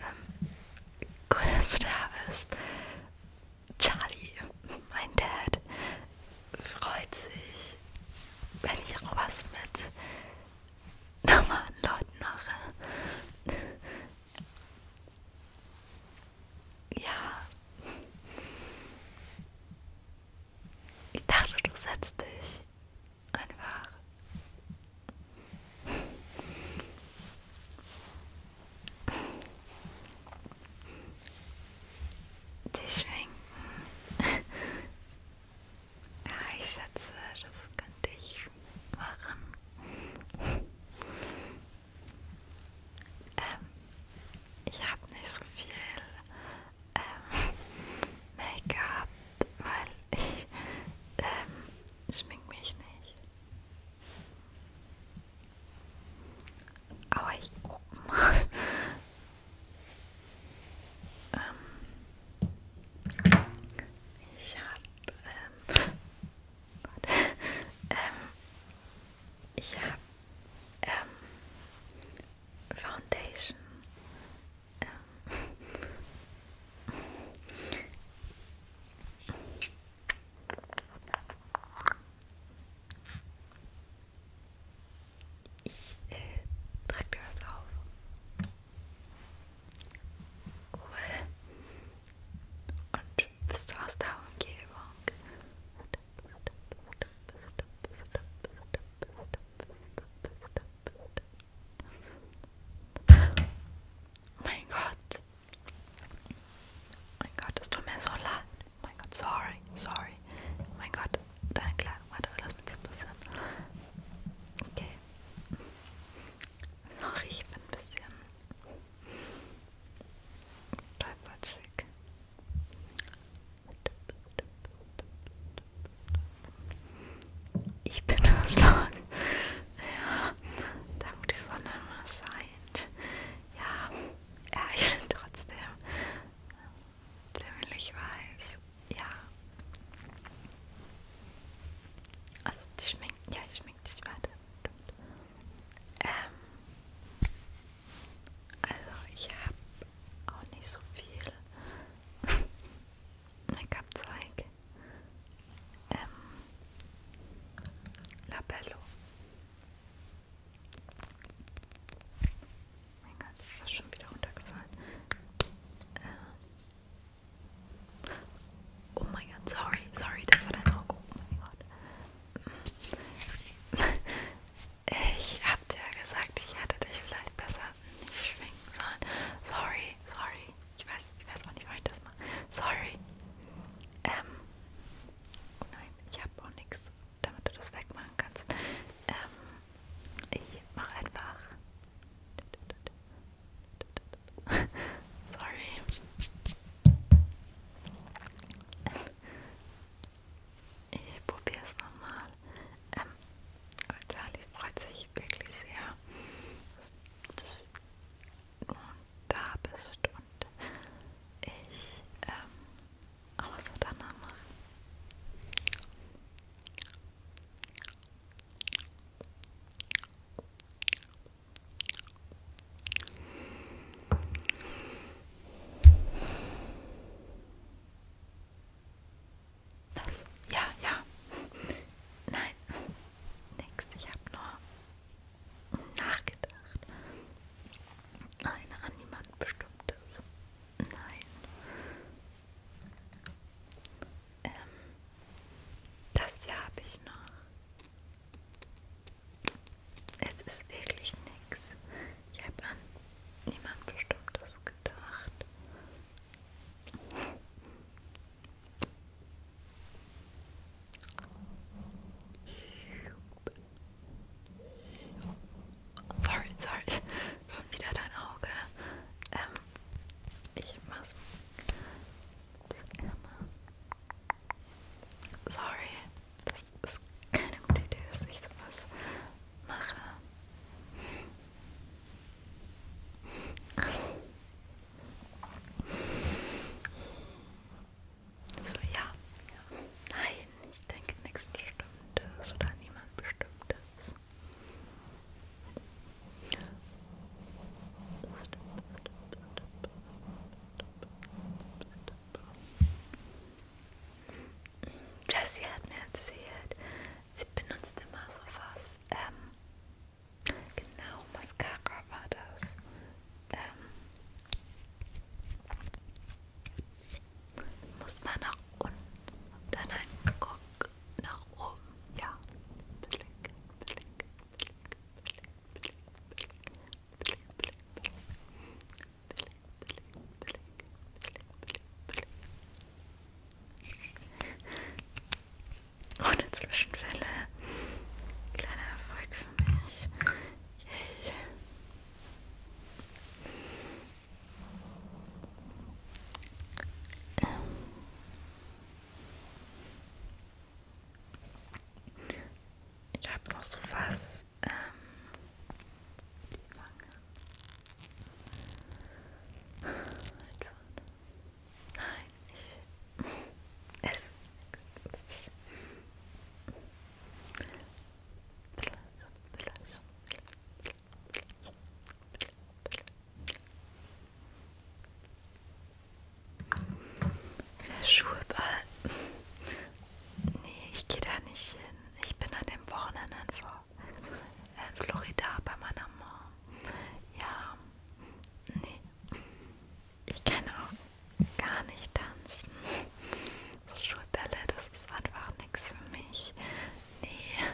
ähm, gut, dass du da bist. Charlie, mein Dad, freut sich, wenn ich auch was mit normalen Leuten mache. ja. Ich dachte, du setzt dich Einfach. Die schwenken. Ja, ich schätze, das könnte ich machen. Ähm, ich habe nicht so viel ähm, Make-up weil ich ähm, schmink mich nicht. Aber ich guck mal. ähm, ich habe ähm, Gott, ähm, ich habe ähm, Foundation ich äh, trage dir was auf. Cool. Und bist du aus der Umgebung? Stop, stop, stop, stop, stop, stop, stop, stop. Mein Gott. Mein Gott, es tut mir so leid. Mein Gott, sorry, sorry. Mein Gott, dein klar, warte, lass mich das passieren. Okay. Sorry, ich bin ein bisschen tollpatschig. Ich bin aus Max. Ja, da wo die Sonne immer scheint. Ja, ja, ich bin trotzdem ziemlich weiß. Ja. Also die schminkt, ja, ich schminkt dich weiter. Ähm, also ich habe auch nicht so viel. Ich habe Zeug ehm, Labello. Mein Gott, das ist schon wieder runtergefallen. Äh, oh mein Gott, sorry, sorry, das war dein Auge. Oh mein Gott. Ich hab dir ja gesagt, ich hätte dich vielleicht besser nicht schwenken sollen. Sorry, sorry. Ich weiß, ich weiß auch nicht, warum ich das mache. Sorry. Ähm. Oh nein, ich habe auch nichts, damit du das wegmachen kannst. Ähm, ich mache einfach. Sorry. Ähm, ich probiere es nochmal. Ähm, Charlie freut sich wirklich sehr, dass du da bist und ich ähm, auch so danach mache. Das? Ja, ja. Nein. Nix. Ich habe nur nachgedacht. Nein, an niemand bestimmtes. Nein. Ähm, das hier habe ich noch. Es ist wirklich nichts. Ich habe an niemand Bestimmtes gedacht. Sorry, sorry. Schon wieder dein Auge. Ähm, ich mach's. Sorry, das ist keine gute Idee, dass ich sowas mache. So, ja. ja. Nein, ich denke nichts Bestimmtes oder niemand Bestimmtes. Jessie hat mir erzählt, sie benutzt immer so was das, ähm, genau, Mascara war das. Ähm, muss man nach unten, dann ein Guck nach oben, ja. Blick, blick, blick, blick, blick, blick, blick, blick, blick. Blick, blick, blick, blick, blick, blick. Ohne Zwischenfälle. Kleiner Erfolg für mich. Yay. Ähm. Ich habe noch so was. Ähm, die Wange. Nein, ich. Es. es, es. Der Schulball. Nee, ich gehe da nicht hin. Ich bin an dem Wochenende vor äh, Florida bei meiner Mom. Ja, nee. Ich kann auch gar nicht tanzen. So Schulbälle, das ist einfach nichts für mich. Nee.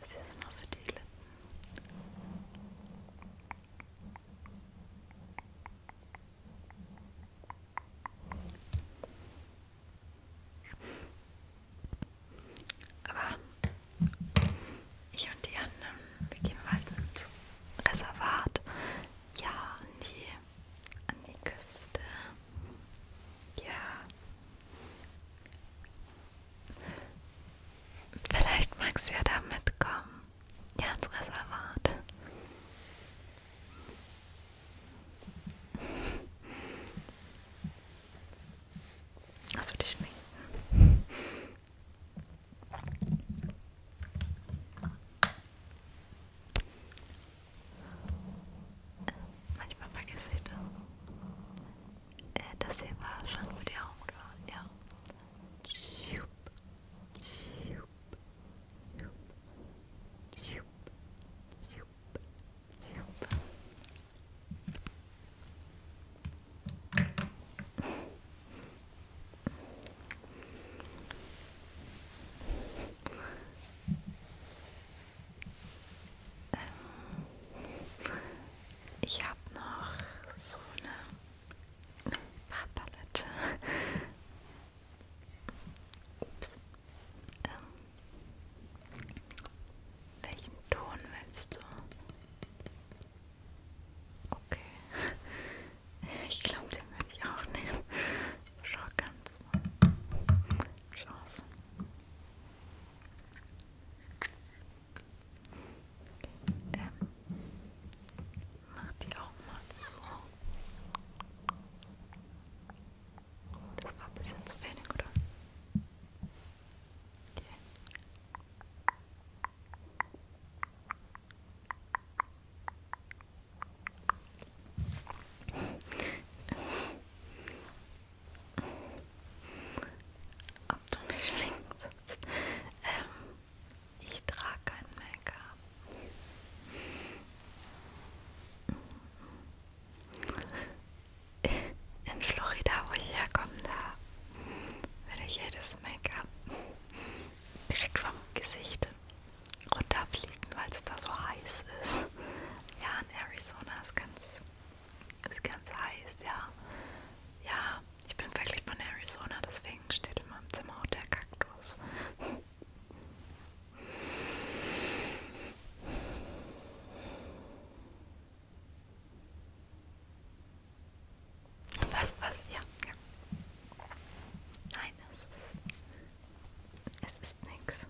Das hier ist nur für die Lippen. Aber ich und die anderen, wir gehen mal ins Reservat. Ja, an die, an die Küste. Ja. Vielleicht magst du ja da mitkommen. Herzreservat. Das würde ich schmecken. Manchmal vergesse ich das. Äh, das hier war schon, wo die Augen waren. Ja. Ähm, ich habe noch so eine Farbpalette. Ups. Ähm. Welchen Ton willst du? Okay. Ich glaube, den würde ich auch nehmen. Schau ganz mal. Chance. Ähm. Mach die auch mal zu. Oh, das war ein bisschen zu wenig, oder? Okay. Ob du mich schminkst? Ähm, ich trage kein Make-up. In Florida, wo ich herkomme, da würde ich jedes Make-up direkt vom Gesicht runterfliegen, weil es da so heiß ist. Ja, in Arizona ist ganz, ist ganz heiß, ja. Ja, ich bin wirklich von Arizona, deswegen steht in meinem Zimmer auch der Kaktus aus. Was, was, ja, ja. Nein, es ist. Es ist nix.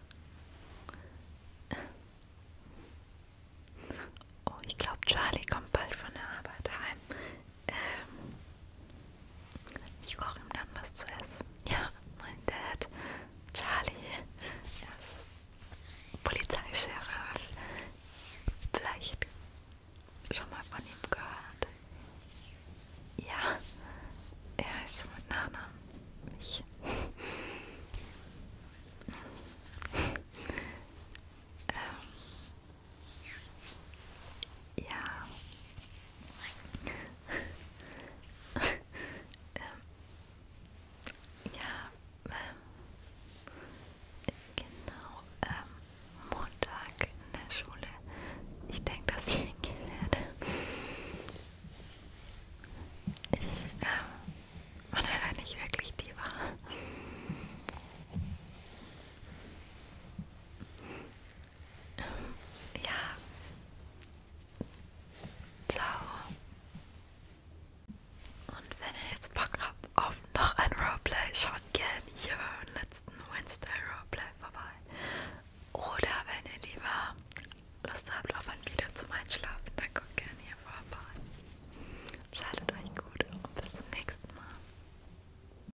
Oh, ich glaube, Charlie kommt bald von der Arbeit heim ähm, ich koche ihm dann was zu essen. Ja, mein Dad, Charlie, er ist Polizeischeriff. Vielleicht schon mal von ihm gehört. Ja, er ist mit Nana. Ich. ähm, ja. ähm, ja, ähm, genau, ähm, Montag in der Schule. Ich denke, dass ich hingehen werde. Ich, ähm, man hat halt nicht wirklich die Wahl. Ähm, ja. Ciao. Und wenn ihr jetzt Bock habt auf noch ein Roleplay, schaut gerne hier beim letzten Wednesday Roleplay vorbei. Oder wenn ihr lieber Lust habt auf ein Video zum Einschlafen, dann guckt gerne hier vorbei. Schaltet euch gut und bis zum nächsten Mal.